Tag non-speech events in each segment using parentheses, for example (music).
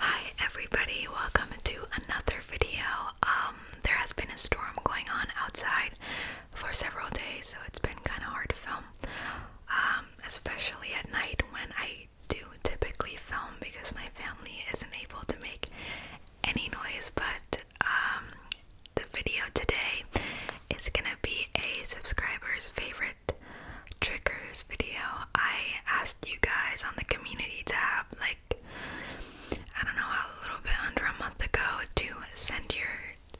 Hi everybody, welcome to another video. Um there has been a storm going on outside for several days, so it's been kind of hard to film. Um, especially at night when I do typically film because my family isn't able to make any noise, but um, the video today is going to be a subscriber's favorite triggers video. I asked you guys on the community tab, like, I don't know, a little bit under a month ago, to send your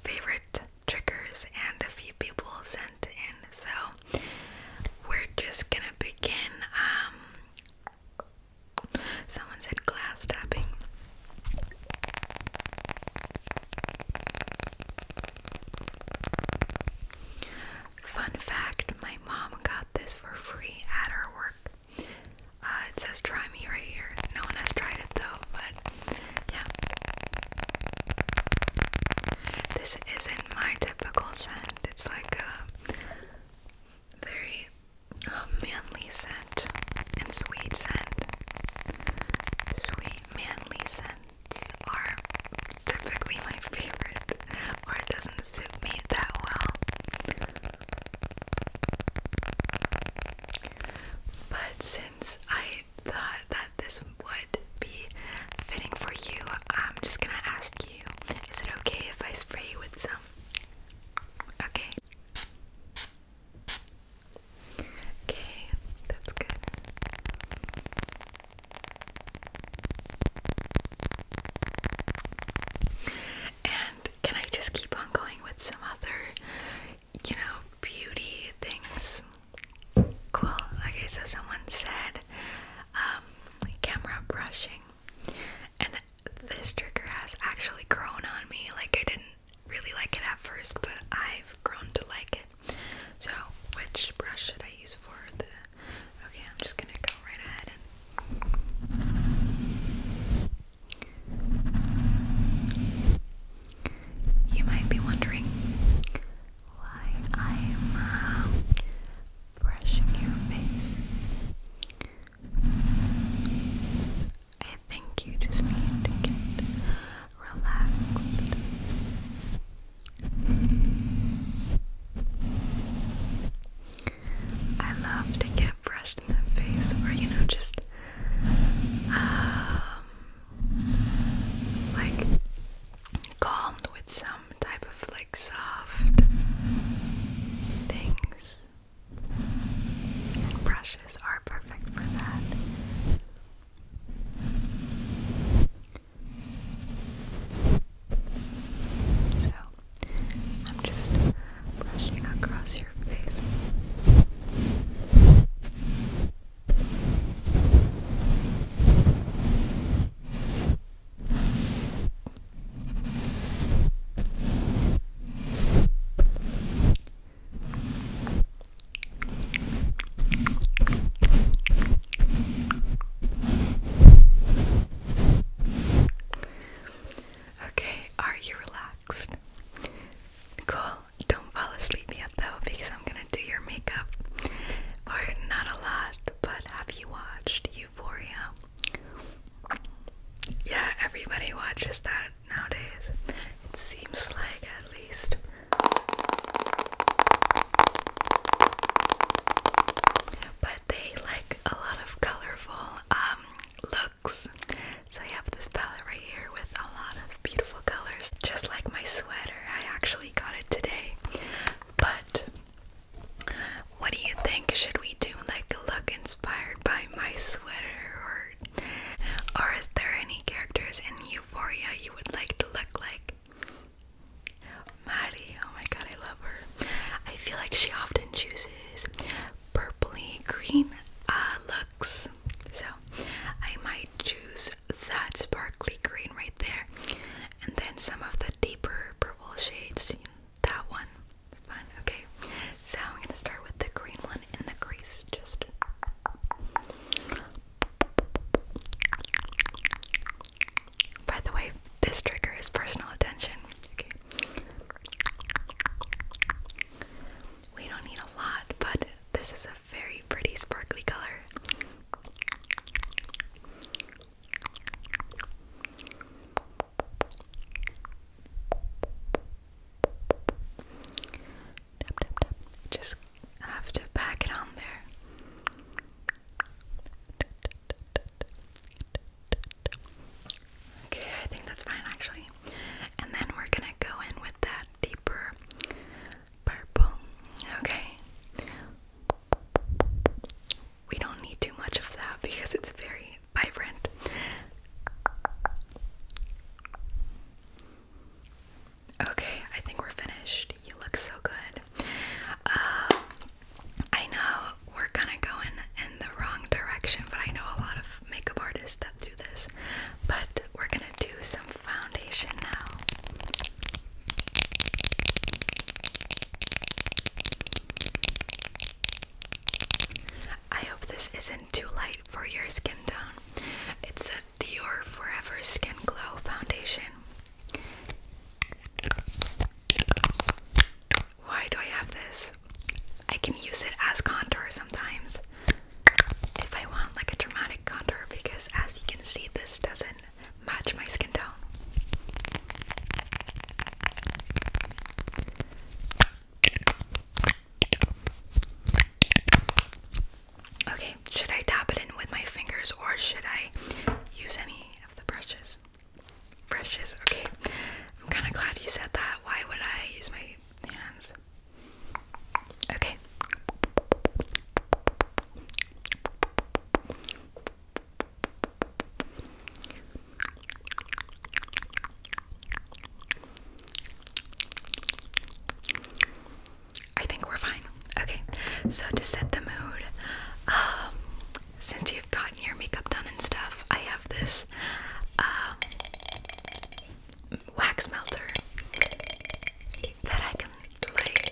favorite triggers, and a few people sent in. So, we're just gonna begin. Um, someone said glass tapping. Fun fact my mom got this for free at her work. Uh, it says try me right here. No one has tried it though, but yeah. This isn't my typical scent. It's like a very um, manly scent and sweet scent. Sweet, manly scent ones typically my favorite, or it doesn't suit me that well. But since I thought that this would be fitting for you, I'm just gonna ask you is it okay if I spray you with some? Okay. Okay, that's good. And can I just keep on going with some other, you know, beauty things? Cool. Okay, so someone said um, camera brushing, and this trigger has actually grown on me. Like, I didn't really like it at first, but I've grown to like it. So, which brush should I use for the. Okay, I'm just gonna go right ahead You might be wondering why I'm um, brushing your face. I think you just need relaxed. I love to get brushed in the face or, you know, just um, like calmed with some type of like soft things. And brushes are perfect for that. So, I'm just brushing across your face. Okay, are you relaxed? Cool. Don't fall asleep yet though because I'm gonna do your makeup. Or not a lot, but have you watched Euphoria? Yeah, everybody watches that nowadays. seems like at least. But they like a lot of colorful um, looks. So I have this palette right here with a lot of beautiful colors. Just like my sweater. I actually got it today. But what do you think? Should we do like a look inspired by my sweater or or is there any characters in Euphoria you would like to look like? Maddie, oh my god, I love her. I feel like she often chooses purpley green uh, looks. So I might choose that sparkly green right there. And then some of the deeper purple shades. That one. It's Okay. So I'm gonna start with the green one in the crease. Just by the way, this trigger is personal attention. We don't need a lot, but this is a very pretty sparkly color. Just have to pack it on there. Okay, I think that's fine actually. And then we're gonna go in with that deeper purple. Okay. We don't need too much of that because it's very vibrant. Okay, I think we're finished. You look so good. Um, I know we're kind of going in the wrong direction, but I know a lot of makeup artists that do this. But we're gonna do some foundation now. I hope this isn't too light for your skin tone. It's a Dior Forever Skin Glow foundation. Why do I have this? I can use it as contour sometimes if I want like a dramatic contour because as you can see this doesn't match my skin tone. Okay, should I tap it in with my fingers or should I use any point the brushes. Brushes, okay. I'm kind of glad you said that. Why would I use my hands? Okay. I think we're fine. Okay, so to set the mood, um, since you've gotten your makeup done and stuff, I have this um, wax melter that I can like.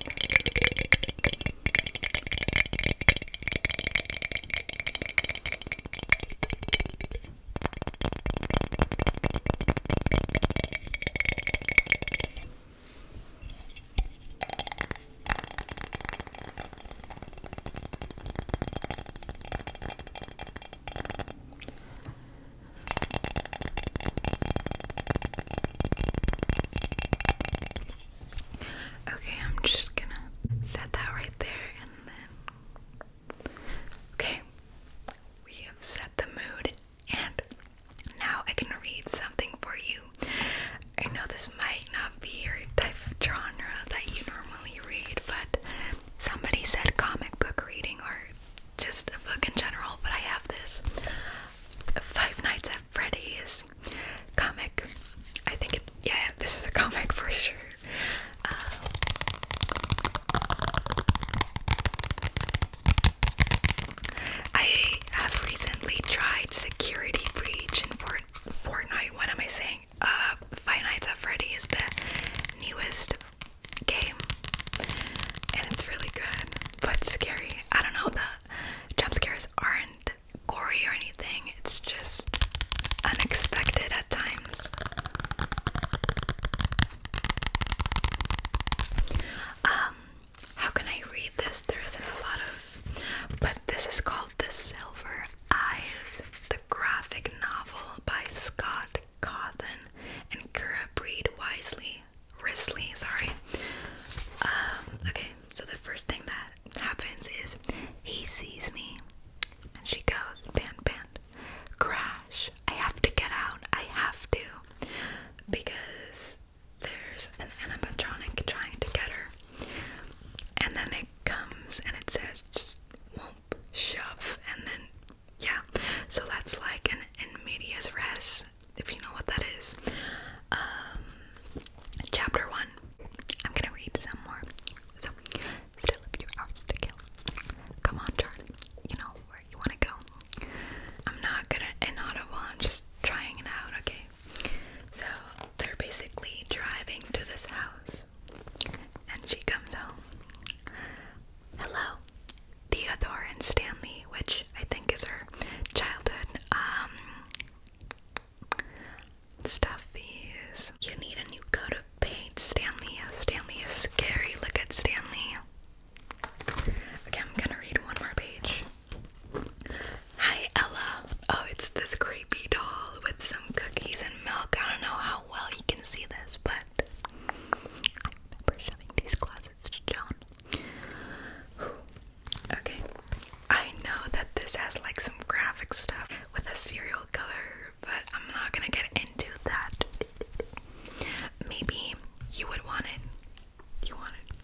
Okay, I'm just gonna set that right there and then. Okay, we have set the mood, and now I can read something for you I know this might not be your type of genre that you normally read, but somebody said comic book reading or just a book in general, but I have this Five Nights at Freddy's comic. I think it, yeah, this is a comic (laughs) for sure. Uh, I have recently tried Security Breach in Fort Fortnite. What am I saying? Uh, Five Nights at Freddy is the newest game, and it's really good, but scary. I don't know, the jump scares aren't gory or anything, it's just unexpected at times. Um, how can I read this? There isn't a lot of, but this is called The Silver Eyes, the graphic novel by Scott Cawthon and Kira Breed Wisely. Risley, sorry. Um, okay, so the first thing that happens is he sees me and she goes, Pan, pan, crash. I have to get out. I have to. Because there's an animatronic trying to get her, and then it comes and it says just whoop, shove, and then yeah. So that's like an immediate medias res, if you know what that is. Um, chapter one. I'm gonna read some more. So, still a few hours to kill. Come on, Charlie. You know where you wanna go. I'm not gonna inaudible. I'm just trying it out. Okay. So they're basically driving to this house, and she comes home. Hello, Theodore and Stanley, which I think is her childhood um, stuff. Is you need a new coat of paint, Stanley? Stanley is scary. Look at Stanley. Okay, I'm gonna read one more page. Hi Ella. Oh, it's this creepy doll with some cookies and milk. I don't know how well you can see this, but I remember showing these closets to John. Okay. I know that this has like some graphic stuff with a serial killer, but I'm not gonna get into that. Maybe you would want it. You want it.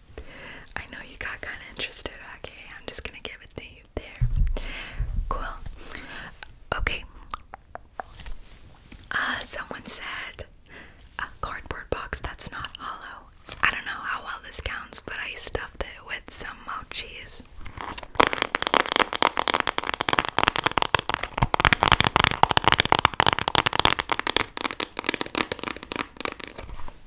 I know you got kind of interested. Okay, I'm just gonna give it to you there. Cool. Okay. Uh, someone said a cardboard box that's not hollow. I don't know how well this counts, but I stuffed it with some mochis.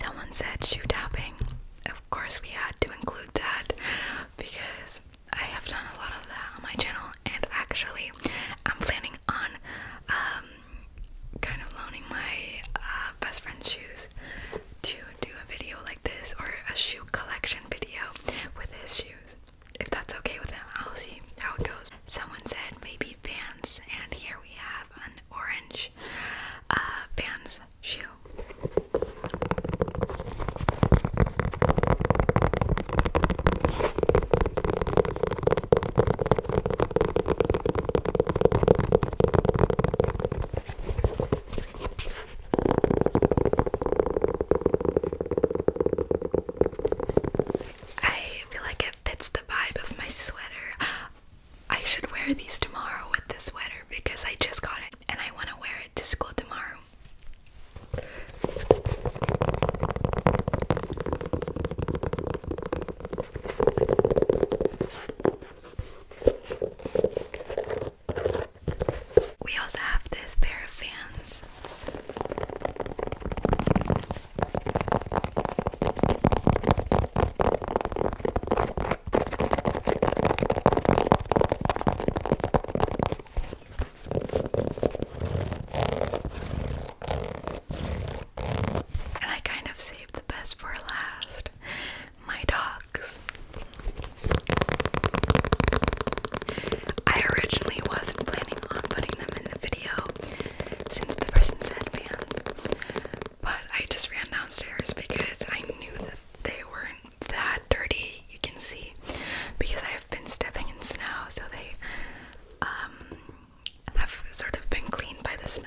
Someone said shoe tapping. Of course, we had to include that because I have done a lot of that on my channel, and actually, I'm planning on um, kind of loaning my uh, best friend's shoes to do a video like this or a shoe collection video with his shoes. If that's okay with him, I'll see how it goes. Someone said maybe Vans, and here we have an orange uh, Vans shoe. I feel like it fits the vibe of my sweater. I should wear these tomorrow with this sweater because I just got it and I want to wear it to school tomorrow. We also have this pair of fans. And I kind of saved the best for last my dogs. I originally wasn't planning on putting them in the video since the person said fans, but I just ran downstairs because I knew that they weren't that dirty, you can see, because I have been stepping in snow, so they um, have sort of been cleaned by the snow.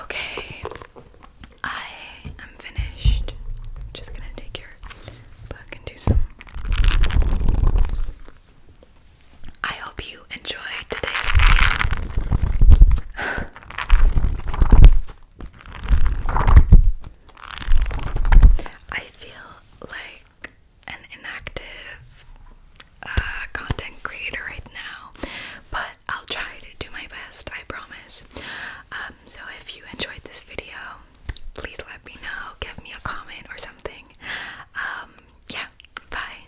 Okay, I am finished. Just gonna take your book and do some I hope you enjoyed today's video. I feel like an inactive uh, content creator right now, but I'll try to do my best, I promise. Um, so if you enjoyed this video, please let me know, give me a comment or something. Um, yeah, bye.